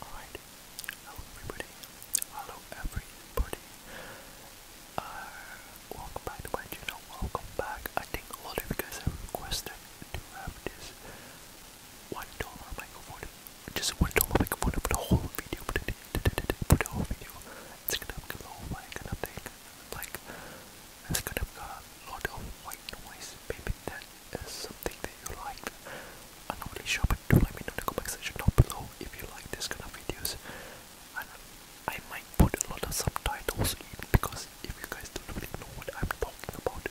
Alright, hello everybody, hello everybody, welcome back to my channel, welcome back, I think a lot of you guys have requested to have this one dollar microphone, just one dollar microphone for the whole video, for the, for the whole video, it's gonna have a low mic and a thing, like, it's gonna have a lot of white noise, maybe uh, something that you liked. I'm not really sure, but do let me know in the comment section down below if you like this kind of videos. I might put a lot of subtitles in because if you guys don't really know what I'm talking about,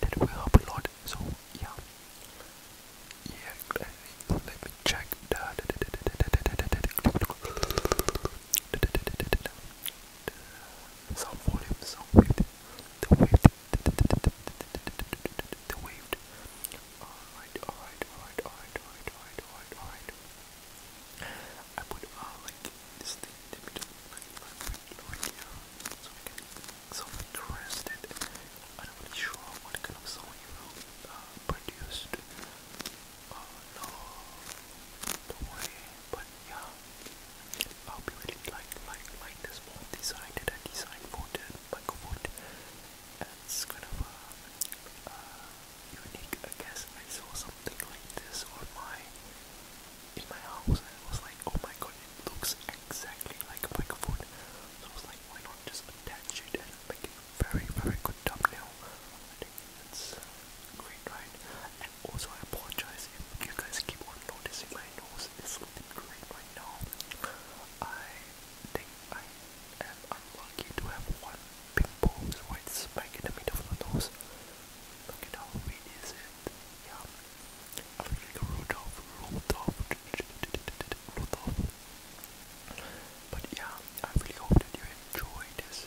that will help a lot. So yeah, yeah. Let me, check the volume, the sound wave, the wave, the wave. Alright, alright, alright, alright, alright, alright, alright, alright. I put uh, like this thing in the middle, like, like, like here, so so I can rest it. I'm not really sure what kind of sound you uh, produced. Uh, no, the way but yeah, I hope you really like like like this wall design that I designed for the microphone. It's kind of unique, I guess. I saw something like this on in my house, and I was like, oh my god, it looks exactly like a microphone. So I was like, why not just attach it and make it a very very good thumbnail? It's great, right? And also, I apologize if you guys keep on noticing my nose is looking great right now. I think I am unlucky to have one big pose white spike in the middle of the nose. Look at how weird is But yeah, I really hope that you enjoy this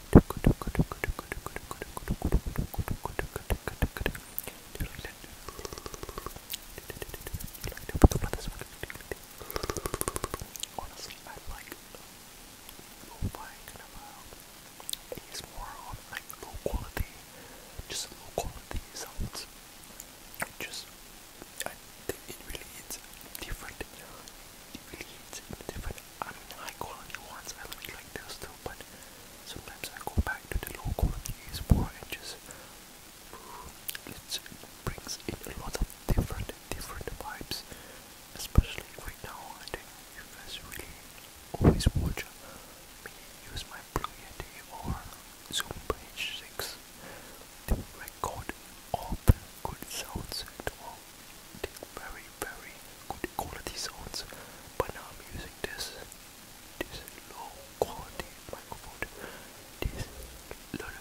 Honestly, I like lo-fi kind of uh, um, it's more on um, like low quality, just low quality sounds. Just, I think it really is different. It really is different. I mean, high quality ones I really like those too, but sometimes I go back to the low quality ASMR and just it brings in a lot of different, different vibes. Especially right now, I think you guys really always watch me use my Blue Yeti or Zoom Page 6 to record all good sounds and all very, very good quality sounds, but now I'm using this, this low quality microphone, this I'm not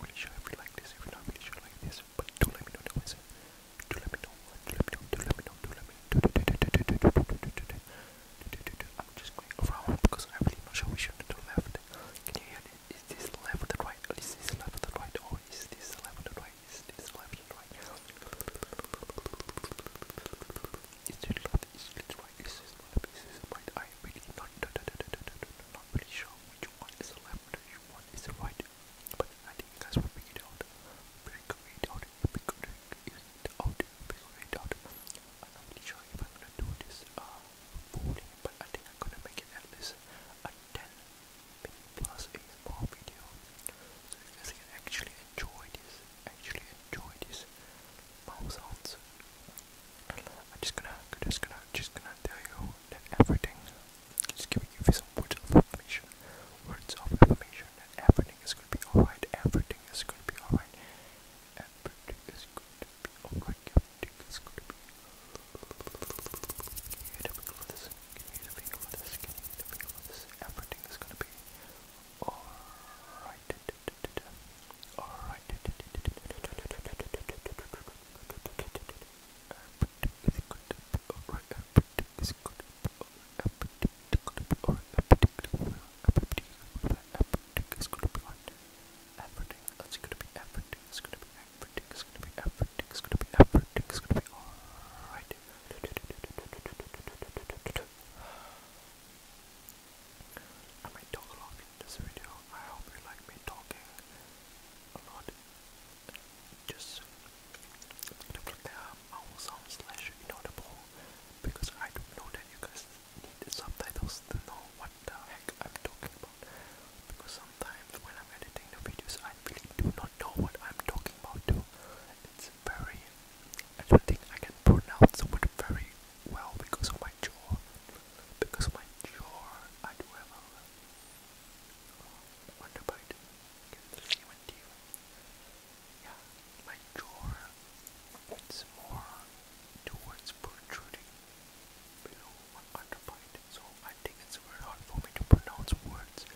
really sure if you like this, if you're not really sure like this, but do let me know in the do let me know, do let me know, do let me know, do let me know. I'm just going around because I'm really not sure which one to the left. Can you hear it? Is this left or the right? Is this left or the right? Or is this left or the right? Is this left or the right? Is this left? Is this right? Is this left? Is this right? I'm really not, not really sure which one is the left, which one is the right. But I think you guys will figure it out. Figure it out. Figure it out. Figure it out. I'm not really sure if I'm gonna do this uh, but I think I'm gonna make it at least a 10 plus a small video. So you guys can actually enjoy this. Actually enjoy this mouth sounds. I'm just gonna just gonna just gonna tell you that everything just giving you some words of affirmation. Words of affirmation that everything is going to be alright. Everything is going to be alright. Everything is going to be alright. Everything is going to be Give me a finger for this. Give me a finger for this. Give me a finger for this. Everything is going to be alright. Alright. Everything is going to be alright. Everything object is good a particular or a particular a particular object is going to be on everything. That's going to be everything. It's going to be everything. It's going to be everything. It's going to be everything. It's going to be all right. I might talk a lot in this video. I hope you like me talking a lot just to prepare our sound slash inaudible because I don't know that you guys need subtitles to know what the heck I'm talking about because sometimes when I'm editing the videos I really do not know what I'm talking about too. It's very I don't think I can pronounce the word very well because of my jaw. Because of my jaw I do have a underbite. Can the human deal? Yeah, my jaw it's more towards protruding below my underbite, so I think it's very hard for me to pronounce words.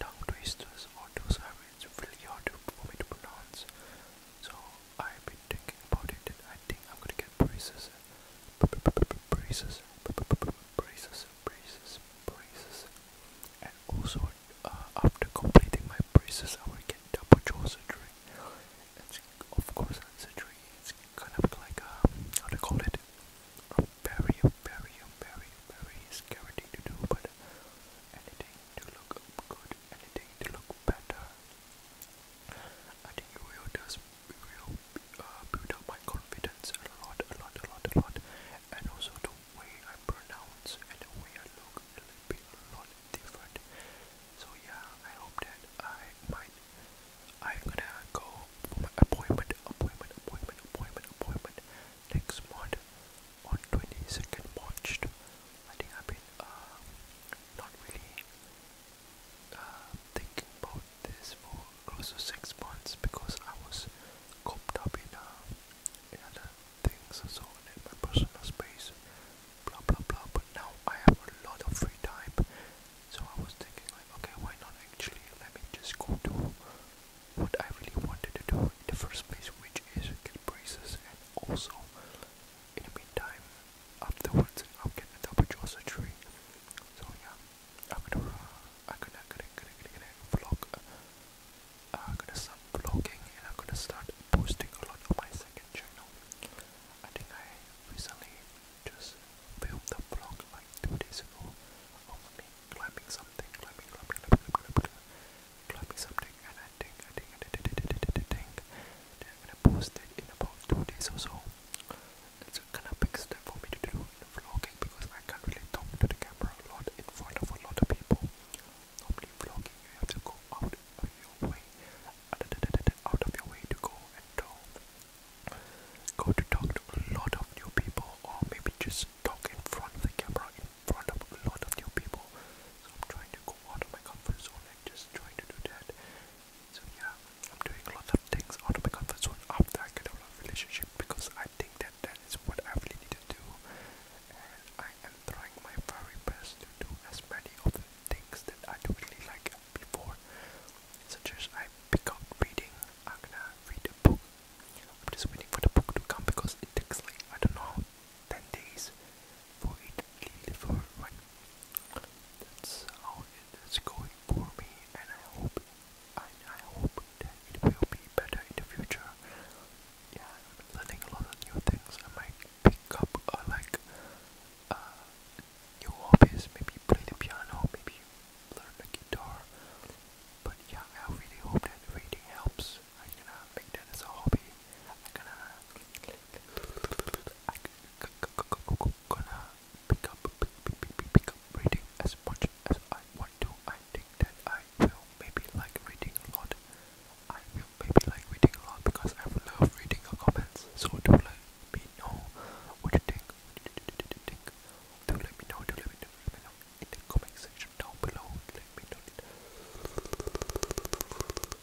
Tongue twisters or those are it's really hard for me to pronounce. So I've been thinking about it and I think I'm gonna get braces. Braces. Braces braces, braces, and also uh, after completing my braces, I will get double jaw surgery. It's, of course, surgery. It's kind of like a, uh, how to call it, very, very, very, very scary thing to do, but anything to look good, anything to look better. I think it will just will build up my confidence a lot, a lot, a lot, a lot, and also the way I pronounce and the way I look a little a lot different. So yeah, I hope that I might. I'm gonna go for my appointment, appointment, appointment, appointment, appointment next month on 22nd March. I think I've been uh, not really uh, thinking about this for close to six months because I was cooped up in, uh, in other things and so on in my personal space, blah blah blah. But now I have a lot of free time, so I was thinking like, okay, why not actually let me just go to what I really wanted to do in the first place, which is get braces and also in the meantime afterwards I'll get a double jaw surgery. So yeah, I'm gonna, uh, I'm gonna, gonna, gonna, gonna, gonna vlog. I'm gonna start vlogging and I'm gonna start posting a lot on my second channel. I think I recently just filmed the vlog like two days ago of me climbing something, climbing, climbing, climbing, climbing, climbing, something, and I think, I think, I think, I think, I think, I think, I think, I think, I think, I think, I it's kind of big step for me to do vlogging because I can't really talk to the camera a lot in front of a lot of people. Normally vlogging you have to go out of your way out of your way to go and talk. Go to talk to a lot of new people or maybe just talk in front of the camera in front of a lot of new people. So I'm trying to go out of my comfort zone and just trying to do that. So yeah, I'm doing a lot of things out of my comfort zone after I get out of a relationship because I think that that is what I really need to do, and I am trying my very best to do as many of the things that I do really like before, such as I pick up reading. I'm gonna read a book. I'm just waiting for the book to come because it takes like I don't know, ten days for it lead for right. That's how it is going for me and I hope I, I hope that it will be better in the future. Yeah, I'm learning a lot of new things. I might pick up uh, like uh, new hobbies, maybe play the piano, maybe learn the guitar. But yeah, I really hope that reading helps. I'm gonna make that as a hobby. I'm gonna i am going to gonna pick up, pick, pick, reading as much as I want to. I think that I will maybe like reading a lot. I will maybe like reading a lot because I love reading your comments. So do let me know what you think. What you think. Do let me know. Do let me know. Let me know in the comment section down below. Let me know.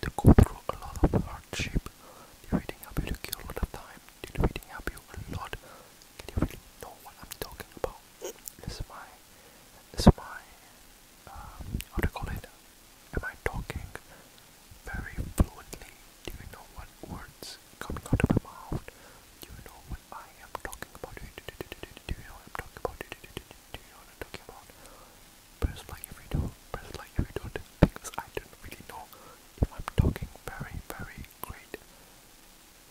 They go through a lot of hardship. They're reading up you kill a lot of time. They're reading up you a lot. Can you really know what I'm talking about? This is my, this is my, uh, how do you call it? Am I talking very fluently? Do you know what words coming out of my mouth? Do you know what I am talking about? Do you know what I'm talking about? Do you know what I'm talking about? press like if you do, press like if you do because I don't really know if I'm talking very, very great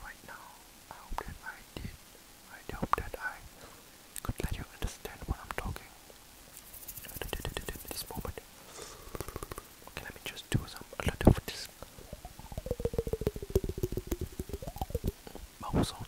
right now. I hope that I did, I hope that I could let you understand what I'm talking at this moment. Okay, let me just do a lot of this mouth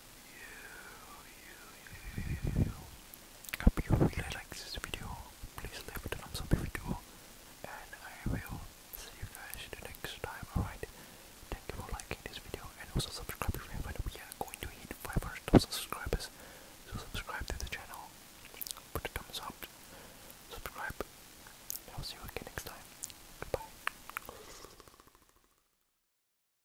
you, you, really liked this video. Please leave a thumbs up if you do. And I will see you guys the next time. Alright. Thank you for liking this video and also subscribe if you haven't. We are going to hit 500,000 subscribers. So subscribe to the channel. Put a thumbs up. Subscribe. And I'll see you again next time. Goodbye.